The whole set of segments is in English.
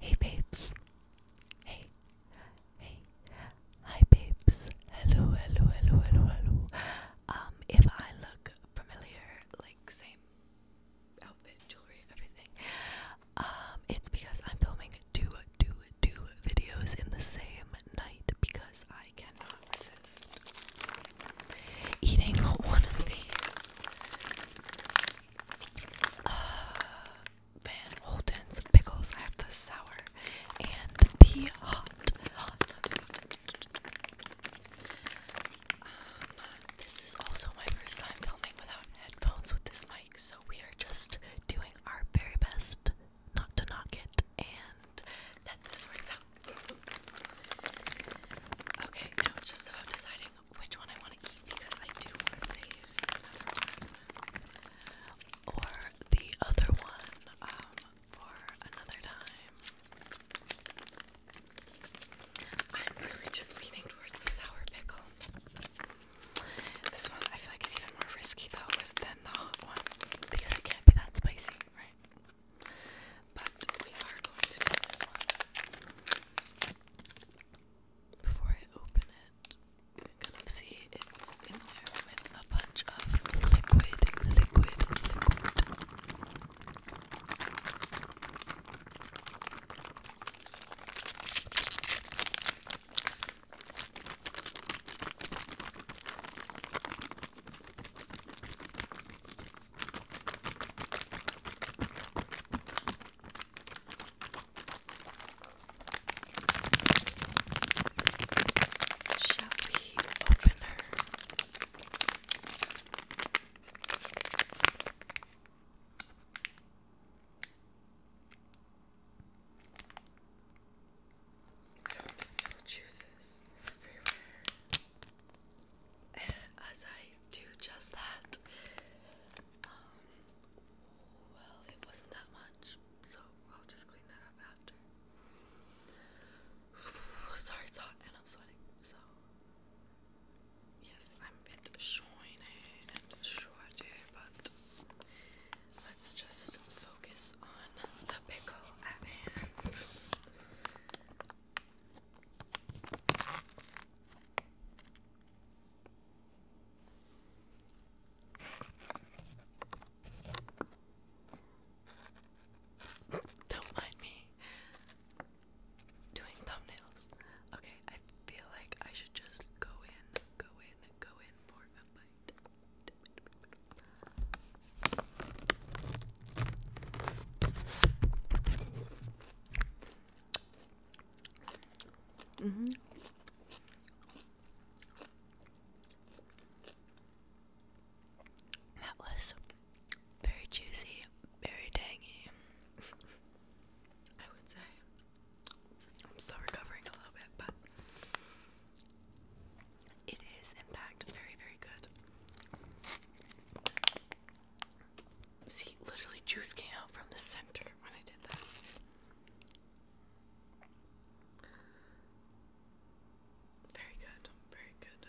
Hey babes. Hey. Hey. Hi babes. Hello, hello, hello, hello, hello. Um, if I look familiar, like same outfit, jewelry, everything, um, it's because I'm filming two, two, two videos in the same night because I cannot resist eating one of these uh, Van Holden's pickles. I have the sour and the hot. hot. Um, this is also my first time filming without headphones with this mic, so we are just doing our very best not to knock it and that this works out. Okay, now it's just about deciding which one I want to eat because I do want to save Or the other one um, for another time. I'm really just leaning towards the sour pickle. This one I feel like is even more risky though with than the hot one because it can't be that spicy, right? But we are going to do this one. Before I open it, you can kind of it's in there with a bunch of liquid, liquid, liquid. Shall we open her? I don't miss juices everywhere. as I do just that. Um, well, it wasn't that much, so I'll just clean that up after. Sorry, it's hot and I'm sweating, so yes, I'm a bit shiny and shorty, but let's just focus on the pickle at hand. Don't mind me doing thumbnails. Okay, I feel like I should just go in, go in, go in for a bite. Mm-hmm. That was very juicy, very tangy. I would say I'm still recovering a little bit, but it is, in fact, very, very good. See, literally juice came out from the center when I did that. Very good, very good,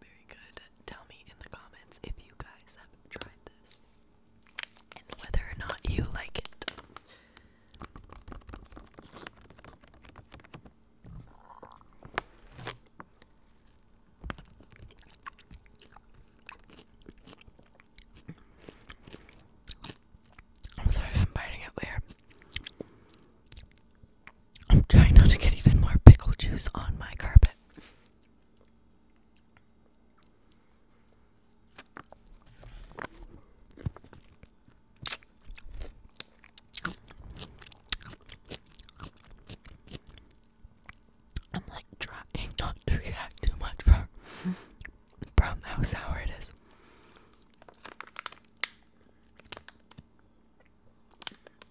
very good. Tell me in the comments if you guys have tried this and whether or not you like it. I'm sorry if I'm biting it weird. I'm trying not to get even more pickle juice on my carpet. I'm like trying not to react too much from from how sour it is.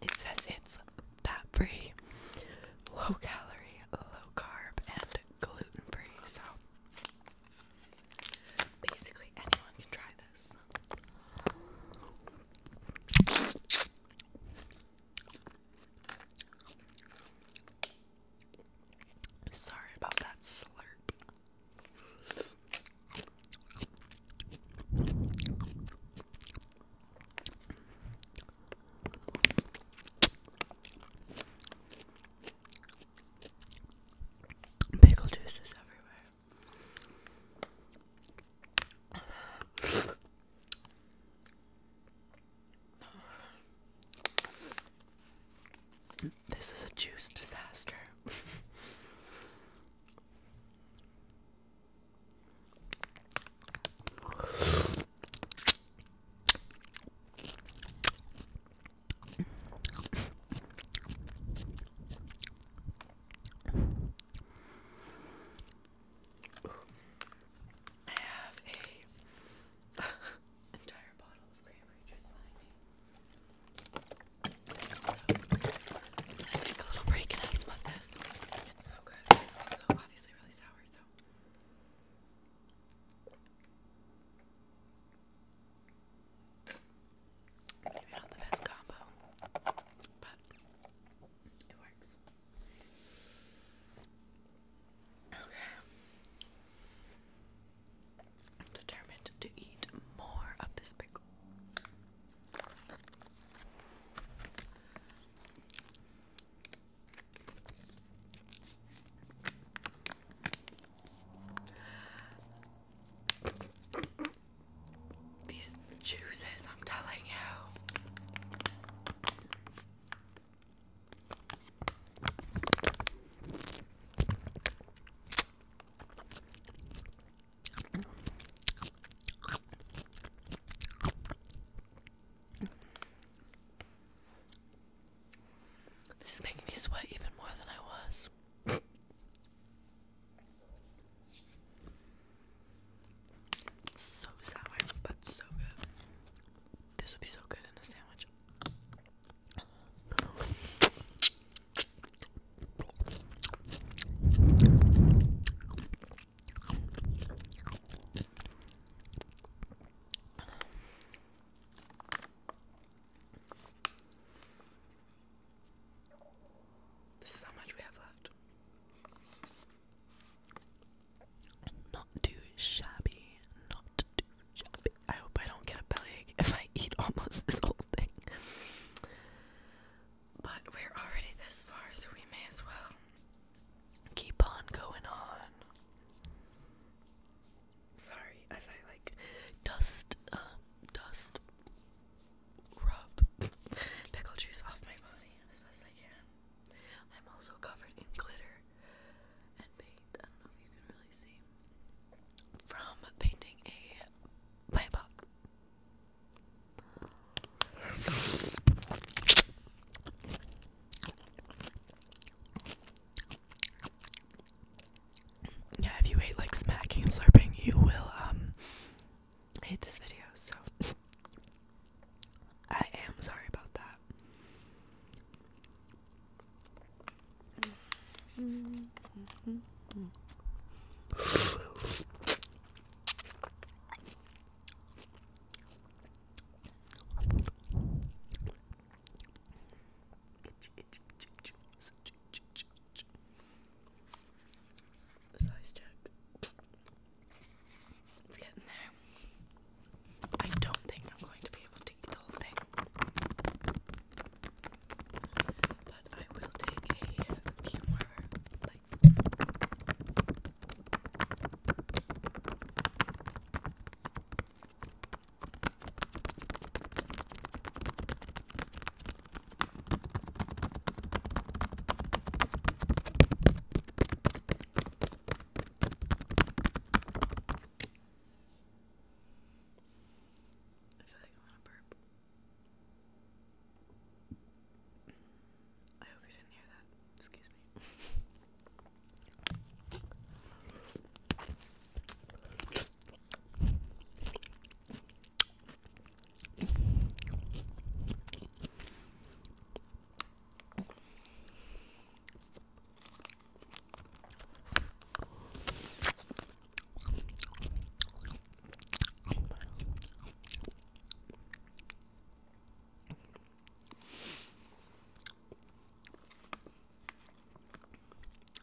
It says it's fat free, low calorie, low carb, and gluten free. So Basically, anyone can try this. Sorry about that slurp. Pickle juice is everywhere. This is a juice disaster. I have a entire bottle of cranberry juice behind me. So, I'm gonna take a little break and have some of this. It's so good. It's also obviously really sour, so Maybe not the best combo, but it works. Okay. I'm determined to eat more of this pickle. These juices, I'm telling you. This is making me sweat even more than I was. so sour, but so good. This would be so good in a sandwich. This is how much we have left. Not too shabby, not too shabby. I hope I don't get a bellyache if I eat almost this whole thing. But we're already this far, so we may as well keep on going on. Sorry, as I like dust, um, dust, rub pickle juice off my body as best I can. I'm also covered in glitter and paint. I don't know if you can really see. From painting a plant yeah, if you hate like smacking slurping, you will um hate this video. So I am sorry about that. Size check. It's getting there. I don't think I'm going to be able to eat the whole thing but I will take a few I feel like I want to I hope you didn't hear that. Excuse me.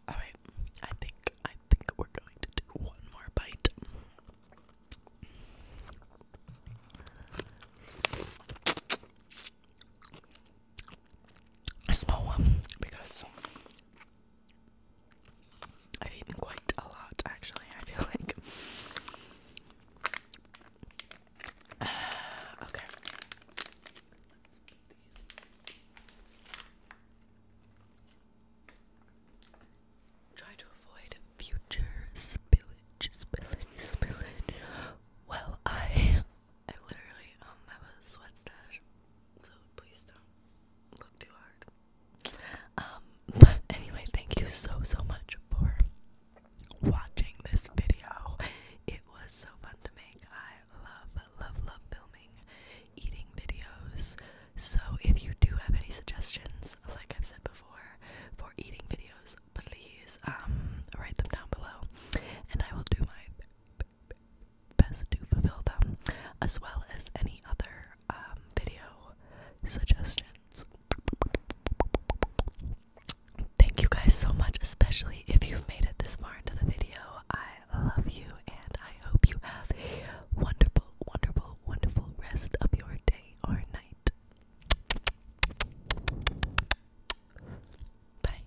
All right, I think I think we're going to do one more bite. A one because I've eaten quite a lot, actually, I feel like. okay. Try to avoid future spillage, spillage, spillage. Well, I, I literally um have a sweat so please don't. Um, anyway, thank you so so much for watching this video. It was so fun to make. I love love love filming eating videos. So if you do have any suggestions, like I've said before, for eating videos, please um, write them down below, and I will do my best to fulfill them, as well as any other um, video suggestions. Thank you guys so much, especially if you've made it this far into the video. I love you and I hope you have a wonderful, wonderful, wonderful rest of your day or night. Bye.